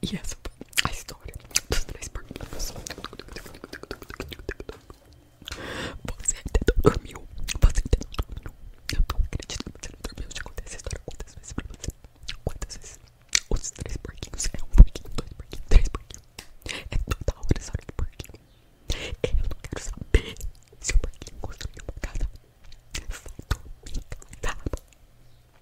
E essa foi a história dos três porquinhos. Você até não dormiu. Você até não dormiu. Eu não acredito que você não dormiu. Eu já essa história quantas vezes Quantas vezes? Os três porquinhos. É um porquinho, dois porquinhos, três porquinhos. É total essa história de porquinho. Eu não quero saber se o porquinho construiu uma casa. Vai dormir, tá?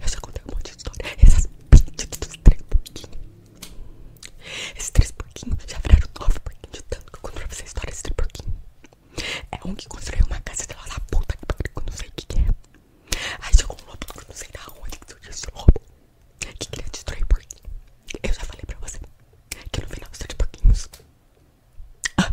Eu já contei um monte de história. Essas pintas dos três porquinhos. Esses três porquinhos já viraram nove porquinhos de tanto que eu conto pra vocês a história três porquinhos. É um que construiu uma casa de lá da puta que pariu, eu não sei o que, é. Aí chegou um lobo que eu não sei da onde que surgiu esse lobo. Que queria destruir porquinho. Eu já falei pra você que no final são de porquinhos. Ah,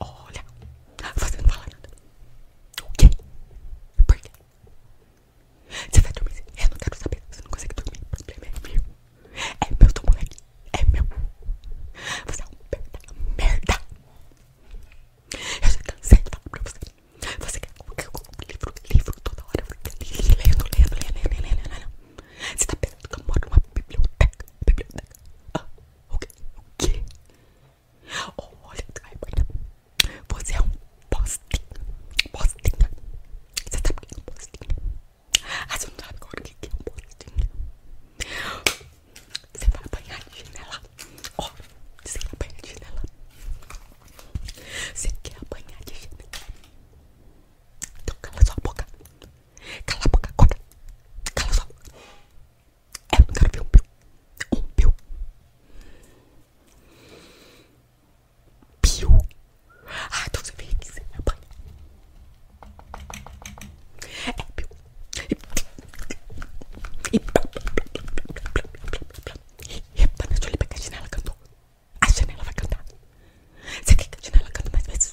Olha, você não fala nada. O quê? Por quê? Você vai dormir? Eu não quero saber. Você não consegue dormir. problema é meu. É meu, seu moleque. É meu. Você é uma merda. Eu já cansei de falar pra você. Você quer que eu livro, livro toda hora. Lendo, lendo, lendo, lendo, lendo, lendo, lendo. Você tá pensando que eu moro numa biblioteca? Biblioteca? Ah, o quê? O quê? Oh, olha, você é um postinha, postinho, Você sabe o que é um postinha? Ah, você não sabe agora o que é um postinha. Você vai apanhar de chinela. Ó, oh, você quer apanhar de chinela? Você quer apanhar de chinela? Então cala sua boca. Cala a boca agora. Cala sua boca. É, cara, eu não quero ver um pio. Um pio. Pio. Ah, então você vem aqui, você me apanha. É, pio. E... Epa, deixa eu olhar pra que a janela cantou. A janela vai cantar. Você quer que a janela cante mais vezes?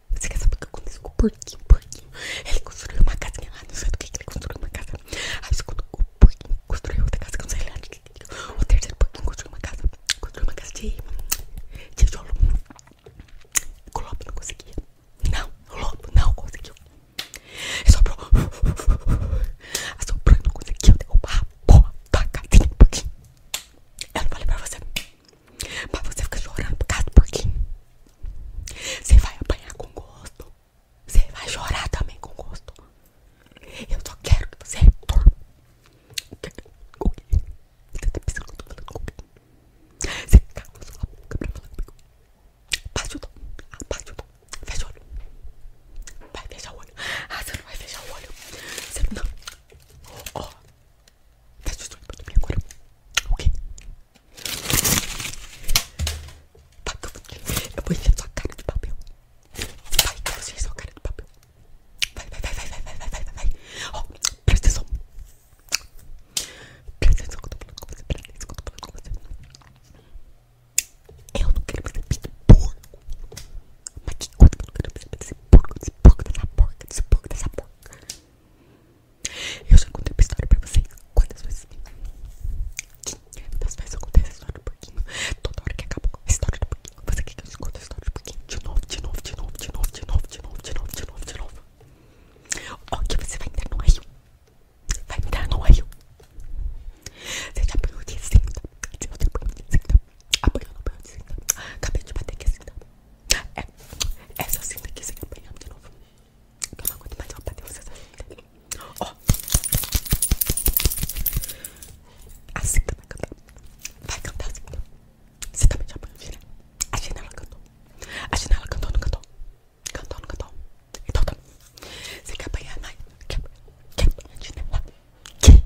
Você quer saber o que aconteceu com o porquinho? Ele construiu uma casinha lá, ah, não sei do que ele construiu uma casa. Aí ah, o porquinho construiu outra casa, não sei lá. O terceiro porquinho construiu uma casa, construiu uma casa de tijolo. O lobo não conseguia. Não, o lobo não conseguiu. Ele soprou. Assoprou e não conseguiu derrubar a porra da casinha do porquinho. Eu não falei pra você. Mas você fica chorando por causa do porquinho. Você vai apanhar com gosto. Você vai chorar também com gosto. Eu só quero que você retorne. Você tá pensando que eu tô falando com quem? Você tá calma sua boca pra falar comigo. Abaixa o tom. Abaixa o Fecha o olho. Vai fechar o olho. Ah, você não vai fechar o olho. Você não. Ó. Faz tá o estudo pra dormir agora. Ok? Vai que eu vou te... Eu vou encher sua cara de papel. Vai que eu vou encher sua cara de papel. Vai, vai, vai, vai, vai, vai, vai, vai, vai. Ó, oh, presta atenção. Presta atenção que eu tô falando com você. Presta atenção que eu tô falando com você. Eu não quero perder esse porco. Mas que coisa que eu não quero perder esse porco, desse porco, dessa porca, desse porco, dessa porca. Eu já contei uma história pra vocês quantas vezes. Quantas vezes eu contei essa história do porquinho. Toda hora que acaba a história do porquinho. Você quer que eu te a história do porquinho? De novo, de novo, de novo, de novo, de novo, de novo, de novo, de novo, de novo. que você vai entrar no rio? Vai entrar no rio. Você já apanhou de cinta. Você já apanhou de cinta. Apanhou, não apanhou de cinta. Acabei de bater aqui a é cinta. É, essa cinta que se apanhar de novo. Que eu não aguento mais, eu vou bater vocês Ó. A cinta vai cantar. Vai cantar a cinta. Você também tá já apanhou, filha? A janela cantou. A a cantou, não cantou? Cantou, não cantou? Então tá. Você quer apanhar, mãe? Quer, quer apanhar a janela? Quer?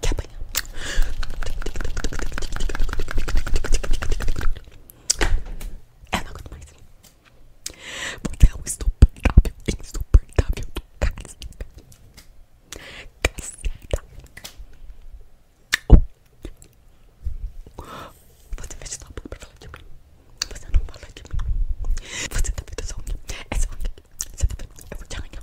Quer apanhar? Eu é, não aguento mais. Você é um insuportável, insuportável do caceta. Caceta. Oh. Você fecha sua boca pra falar de mim. Você não fala de mim. Você tá vendo essa é unha? Essa unha. Você tá vendo? Eu vou te arranhar.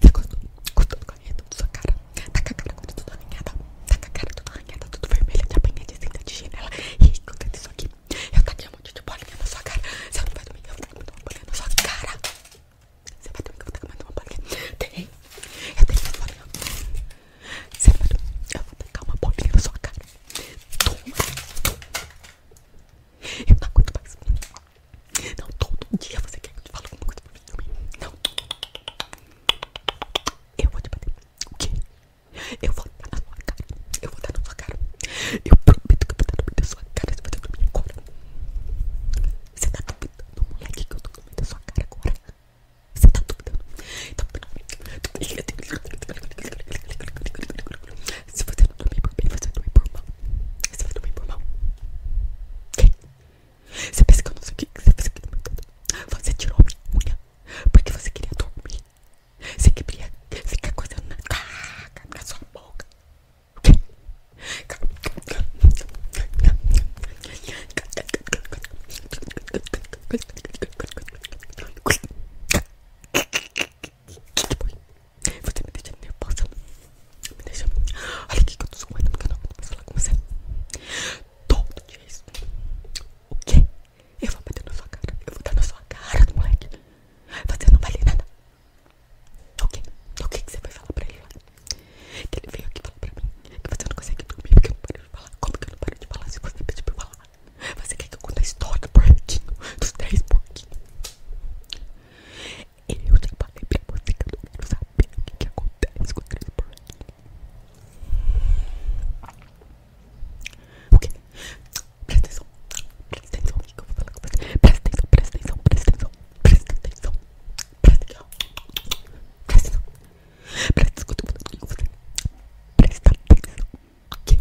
Tá gostando correndo da sua cara? Tá com a cara toda, toda arranhada? Tá com a cara toda arranhada, tudo vermelha, de apanhadinha, de janela? E aí, acontece isso aqui? Eu taquei tá um monte de bolinha na sua cara. Você não vai dormir, eu vou tacar uma bolinha na sua cara. Você vai dormir, eu vou tacar mais uma bolinha. Tem, eu tenho uma bolinha. Sábado eu vou tacar uma bolinha na sua cara. Toma, toma. Eu não aguento mais. Não, todo dia você quer que eu te fale alguma coisa pra mim. Não. Eu vou te bater. O quê? Eu vou dar na sua cara. Eu vou dar na sua cara. Eu prometo que eu vou dar no da sua cara. Você vai dar pra mim agora. Você tá duvidando, moleque, que eu tô comendo a sua cara agora? Você tá doida? Então, se você não dormir por bem, você dorme por mal. Você vai dormir por mal. Que? Você pensa que eu Você sei o que você fez aqui no mercado? Você tirou a minha unha porque você queria dormir. Você queria ficar coisando na, na sua boca. Que? Você me deixa nervosa. Me deixa. Olha que eu tô suando porque não aguento mais falar com você. Todo dia isso. O quê? Eu vou bater na sua cara. Eu vou dar na sua cara moleque. Você não vai ler nada. O quê? O que, que você vai falar pra ele que ele veio aqui falar pra mim que você não consegue dormir porque eu não paro de falar. Como que eu não paro de falar se você pedir pra eu falar? Você quer que eu conte a história do porquinho, dos três porquinhos? Eu já falei pra você que eu não quero saber o que, que acontece com os três porquinhos. O que? Presta atenção, presta atenção que eu vou falar com você. atenção, presta atenção, presta atenção, presta atenção, presta atenção, presta atenção, presta atenção, Presta atenção. Presta atenção. Ok.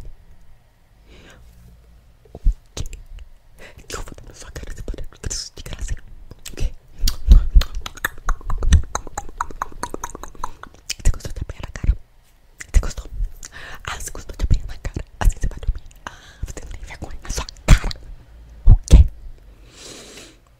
Ok. Que eu vou dar na sua cara de poder. De graça. Ok. Você gostou de apanhar na cara? Você gostou? Ah, você gostou de apanhar na cara? Assim você vai dormir. Ah, você não tem vergonha na sua cara. Ok.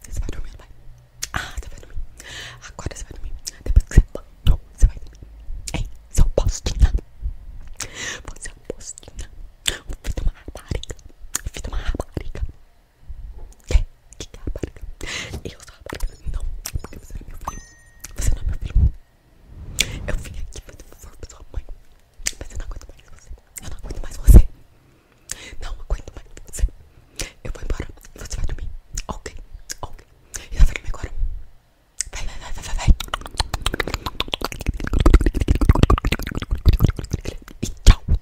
Você vai dormir, vai? Ah, você vai dormir. Agora você vai dormir. Depois que você banhou, você vai dormir. Ei, seu postinha. Você é um postinha. Um filho de uma rapariga. Um filho de uma rapariga. Que? Que é rapariga? Eu sou rapariga. Não, porque você é meu filho. Você não é meu filho. Eu vim aqui fazer um favor pra sua mãe. Mas eu não aguento mais você. Eu não aguento mais você. Não aguento mais você. Eu vou embora e você vai dormir. Ok, ok. E ela vai dormir agora. Vai, vai, vai, vai, vai, tchau.